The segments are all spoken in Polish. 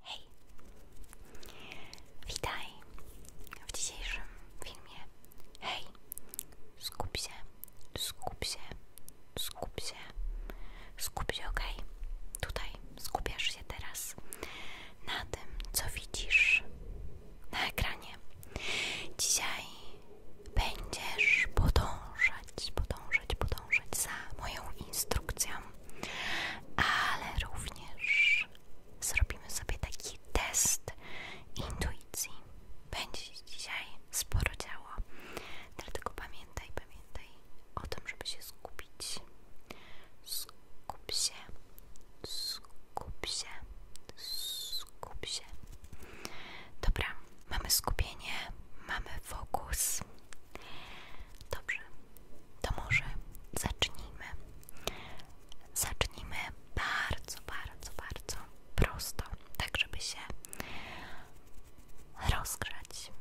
Hej, witaj w dzisiejszym filmie. Hej, skup się, skup się, skup się, skup się, ok? Tutaj skupiasz się teraz na tym, co widzisz na ekranie. Dzisiaj będziesz podążać, podążać, podążać za moją instrukcją ale również zrobimy sobie taki test intuicji. Będzie się dzisiaj sporo działo, dlatego pamiętaj, pamiętaj o tym, żeby się skupić. Skup się, skup się, skup się. Dobra, mamy skupienie, mamy fokus. Dobrze, to może zacznijmy. Zacznijmy bardzo, bardzo, bardzo prosto, tak żeby się rozgrzać.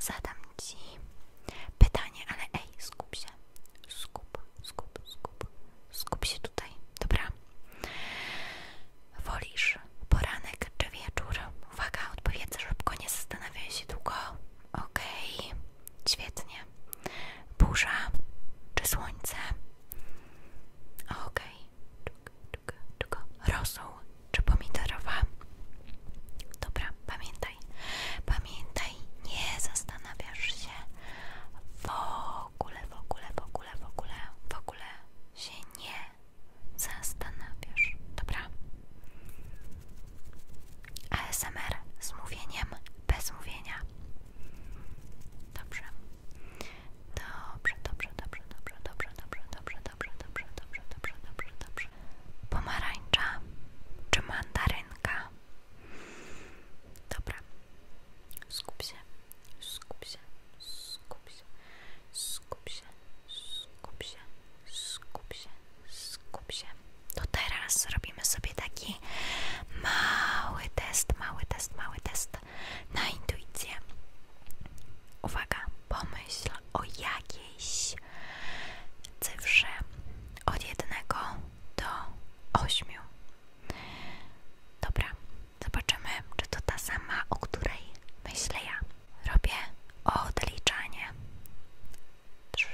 Zadam Ci pytanie, ale ej, skup się. Skup, skup, skup. Skup się tutaj, dobra? Wolisz poranek czy wieczór? Uwaga, odpowiedz szybko, nie zastanawiaj się długo. Okej, okay. świetnie. Burza czy słońce? Okej. Okay. Rosół czy pomidorowa? Dobra, pamiętaj. Pamiętaj, nie zastanawiasz się w ogóle, w ogóle, w ogóle, w ogóle, w ogóle się nie zastanawiasz, dobra? ASMR z mówieniem, bez mówienia. Dobrze. Dobrze, dobrze, dobrze, dobrze, dobrze, dobrze, dobrze, dobrze, dobrze, dobrze, dobrze, dobrze, dobrze. Pomarańcza czy mandarynka? Dobra. Skup się, skup się, skup się, skup się, Skup się, skup się, skup się. To teraz robimy sobie taki mały test, mały test, mały test na intuicję. Uwaga, pomyśl o jakiejś cyfrze od 1 do 8. Dobra, zobaczymy, czy to ta sama, o której myślę robię odliczanie. 3,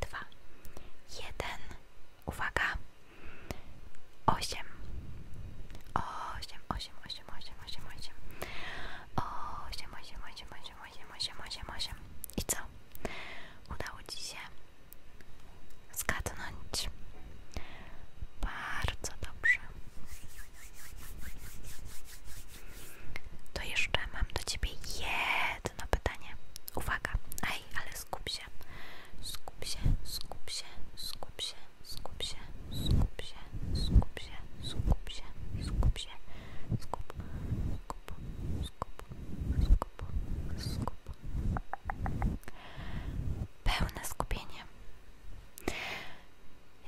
2, 1. Uwaga. 8. 8, 8, 8, 8, 8, 8. 8, 8, 8, 8, 8, 8, 8, 8. I co? Udało Ci się zgadnąć. Bardzo dobrze. To jeszcze mam do ciebie jedno pytanie. Uwaga, ej, ale skup się. Skup się, skup się, skup się, skup się, skup się, skup się, skup się, skup się, skup, skup, skup, skup, skup. Pełne skupienie.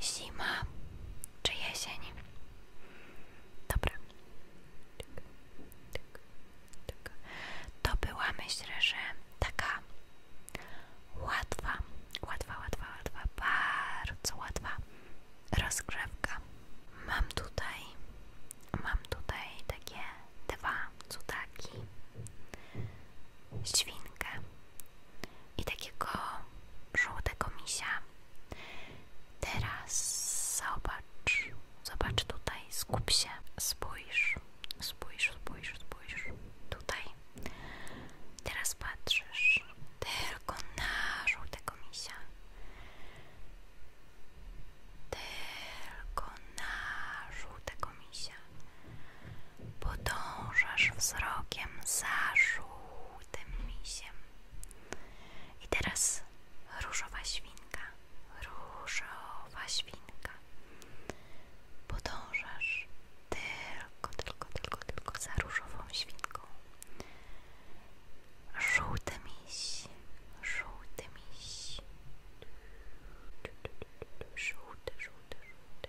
Zima czy jesień? Dobra. To była myślę, że taka łatwa, łatwa, łatwa, łatwa, bardzo łatwa rozgrzewka. Mam tutaj, mam tutaj takie dwa cudaki, świnkę i takiego żółtego misia. Teraz zobacz, zobacz tutaj, skup się, spójrz, spójrz, spójrz, spójrz, tutaj. Teraz patrzysz tylko na żółtego misia. Tylko na żółtego misia podążasz wzrokiem za żółtym misiem. I teraz różowa świnka, różowa świnka. Podążasz tylko, tylko, tylko, tylko za różową świnką. Żółty miś, żółty miś. Żółty, żółty, żółty.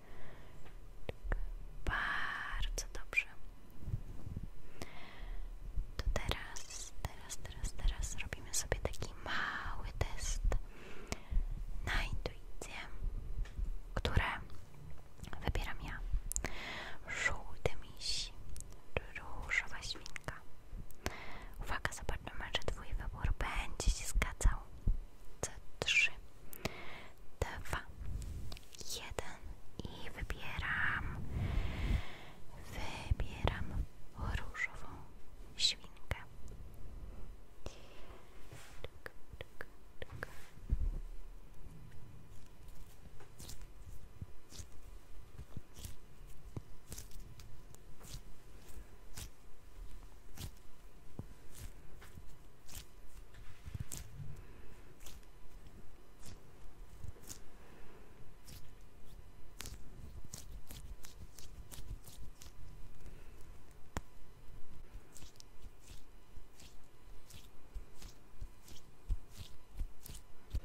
Bardzo dobrze. To teraz, teraz, teraz, teraz robimy sobie taki mały test na intuicję, które wybieram ja. Żółty miś, różowa świnka. Uwaga, zobaczymy, czy twój wybór będzie się zgadzał. Co? Trzy, dwa, jeden i wybieram wybieram różową świnkę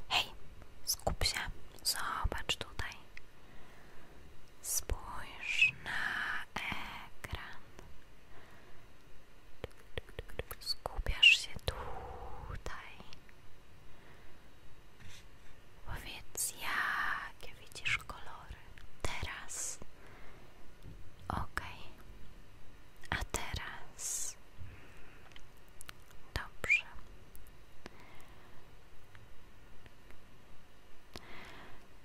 Hej, skup się, zobacz tutaj. Spójrz na ekran. Skupiasz się tutaj. Powiedz, jakie widzisz kolory. Teraz. Ok. A teraz. Dobrze.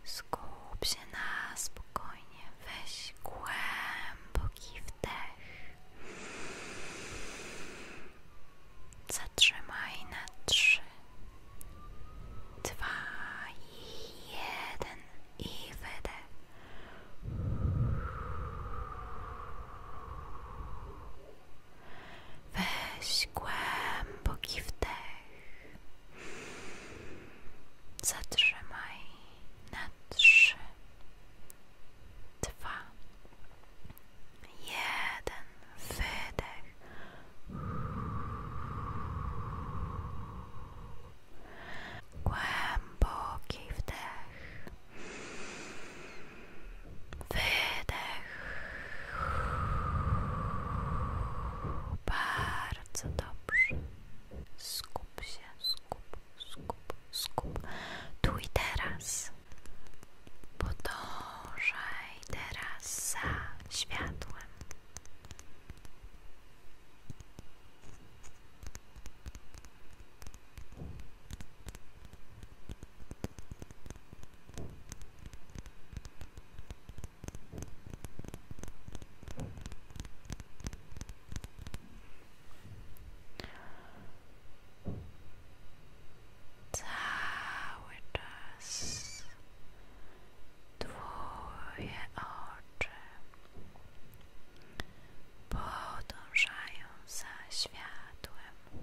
Skup się na spokojnie, weź głęboki wdech. Zatrzymaj na trzy, dwa i jeden i wydech. Weź głęboki wdech. Zatrzymaj na trzy, dwa, jeden wydech. Głęboki wdech. Wydech. Bardzo dobrze. Skup się, skup, skup, skup. Tu i teraz. Podążaj teraz za światłem. Cały czas twoje oczy podążają za światłem.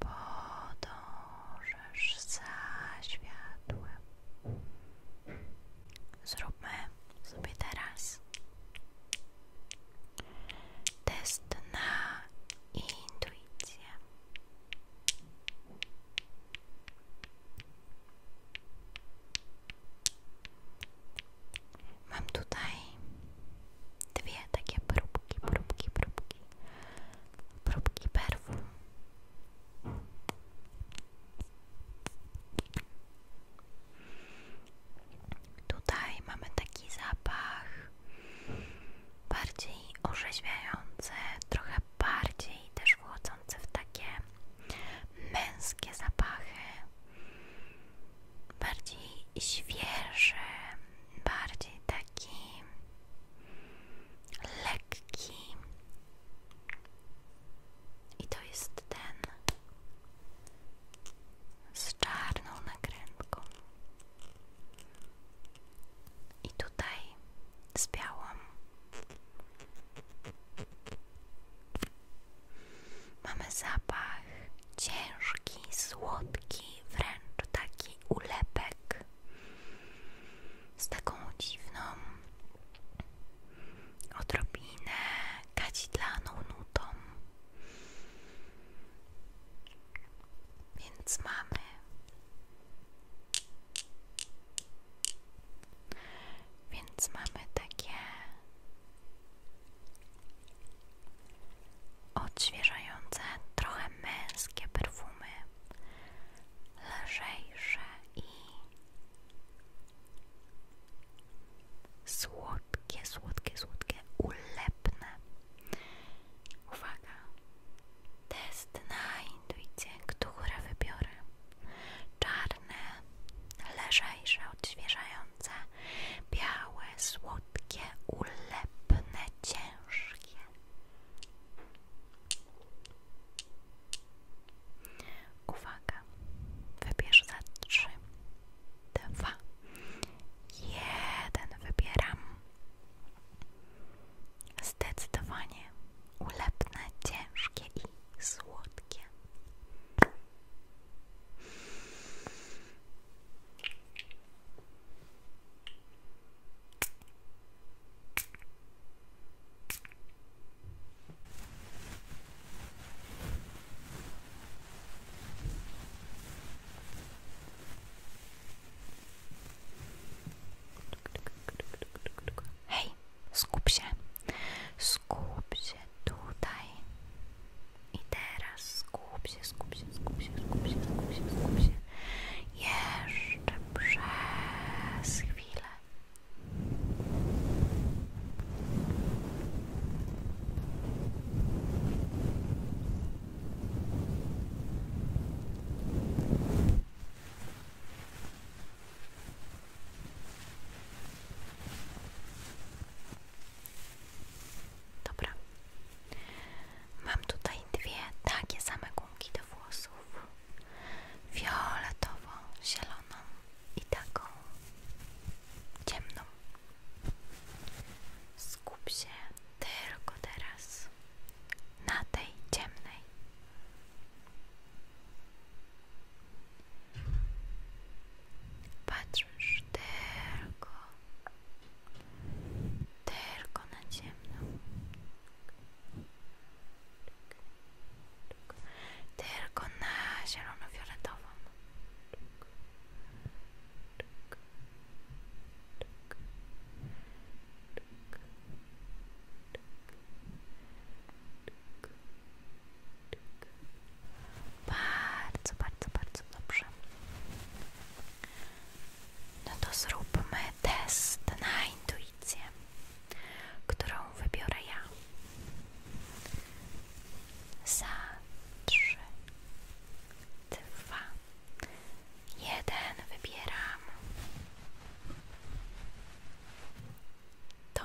podążasz za światłem. Zróbmy sobie teraz test na intuicję. Mam tutaj dwie takie próbki, próbki, próbki próbki perfum. Tutaj mamy taki zapach bardziej orzeźwiający, trochę bardziej też wchodzący w takie męskie zapachy, bardziej świeże, bardziej taki lekki i to jest ten z czarną nakrętką i tutaj z białą mamy zapach ciężki, słodki, wręcz taki ulepek z taką dziwną odrobinę kadzidlaną nutą. Więc mamy więc mamy takie Odświeżające, trochę męskie perfumy, lżejsze i słodkie, słodkie, słodkie, ulepne. Uwaga! Test na intuicję, które wybiorę. Czarne, lżejsze, odświeżające, białe, słodkie mięciutkie, ulepne, ciężkie. Uwaga, wybierz za trzy, dwa, jeden. Wybieram zdecydowanie ulepne, ciężkie i słodkie. Hej, skup się, skup się tutaj. I teraz skup się, skup się, skup się, skup się, skup się, skup się. Jeszcze przez chwilę. Dobra, Mam tutaj dwie takie same gumki do włosów. Fioletową, zieloną i taką ciemną. Skup się tylko teraz na tej ciemnej. Patrzysz tylko, tylko na ciemno. Tylko na zielono-fioletową. Bardzo, bardzo, bardzo dobrze. No to zróbmy test na intuicję, którą wybiorę ja. Za trzy, dwa, jeden wybieram. Tą.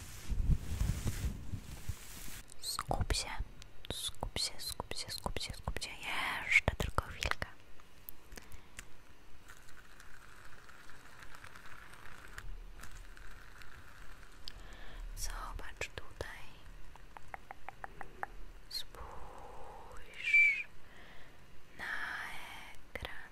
Skup się, skup się, skup się, skup się, skup się. Jeszcze tylko chwilkę. Zobacz tutaj. Spójrz na ekran.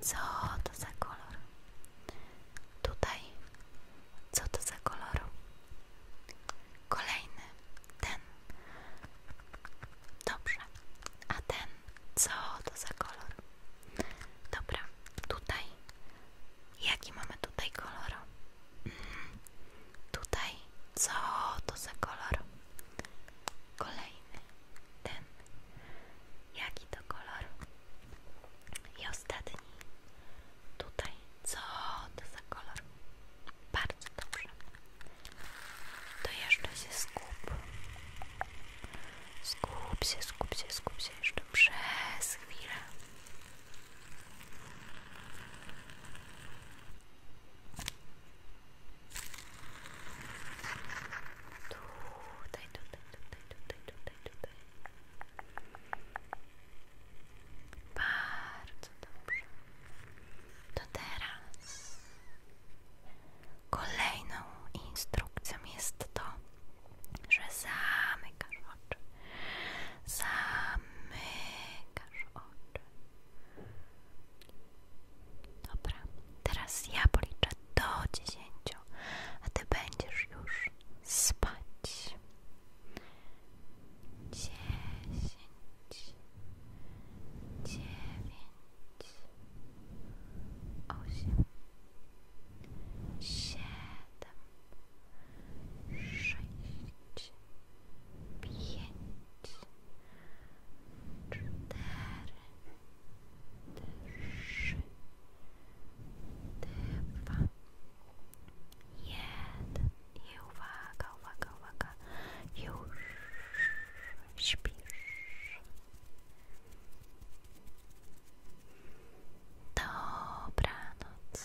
co to za kolor? Tutaj. Co to za kolor? Kolejny. Ten. Dobrze. A ten. Co to za kolor? Dobra. Tutaj. Jaki mamy tutaj kolor? Mm. Tutaj. Co to za kolor? Kolejny ten, jaki to kolor. I ostatni, tutaj, co to za kolor? Bardzo dobrze. To jeszcze się skup. Skup się, skup się, skup się jeszcze przez chwilę. Tutaj, tutaj, tutaj, tutaj, tutaj, tutaj. Bardzo dobrze. To teraz kolejną instrukcją jest to, że zamykasz oczy. Zamykasz oczy. Dobra, teraz ja policzę do dziesięciu, a ty będziesz już spać. Dziesięć, dziewięć, osiem, siedem, sześć, pięć, cztery trzy, dwa, jeden i uwaga, uwaga, już śpisz. Dobranoc.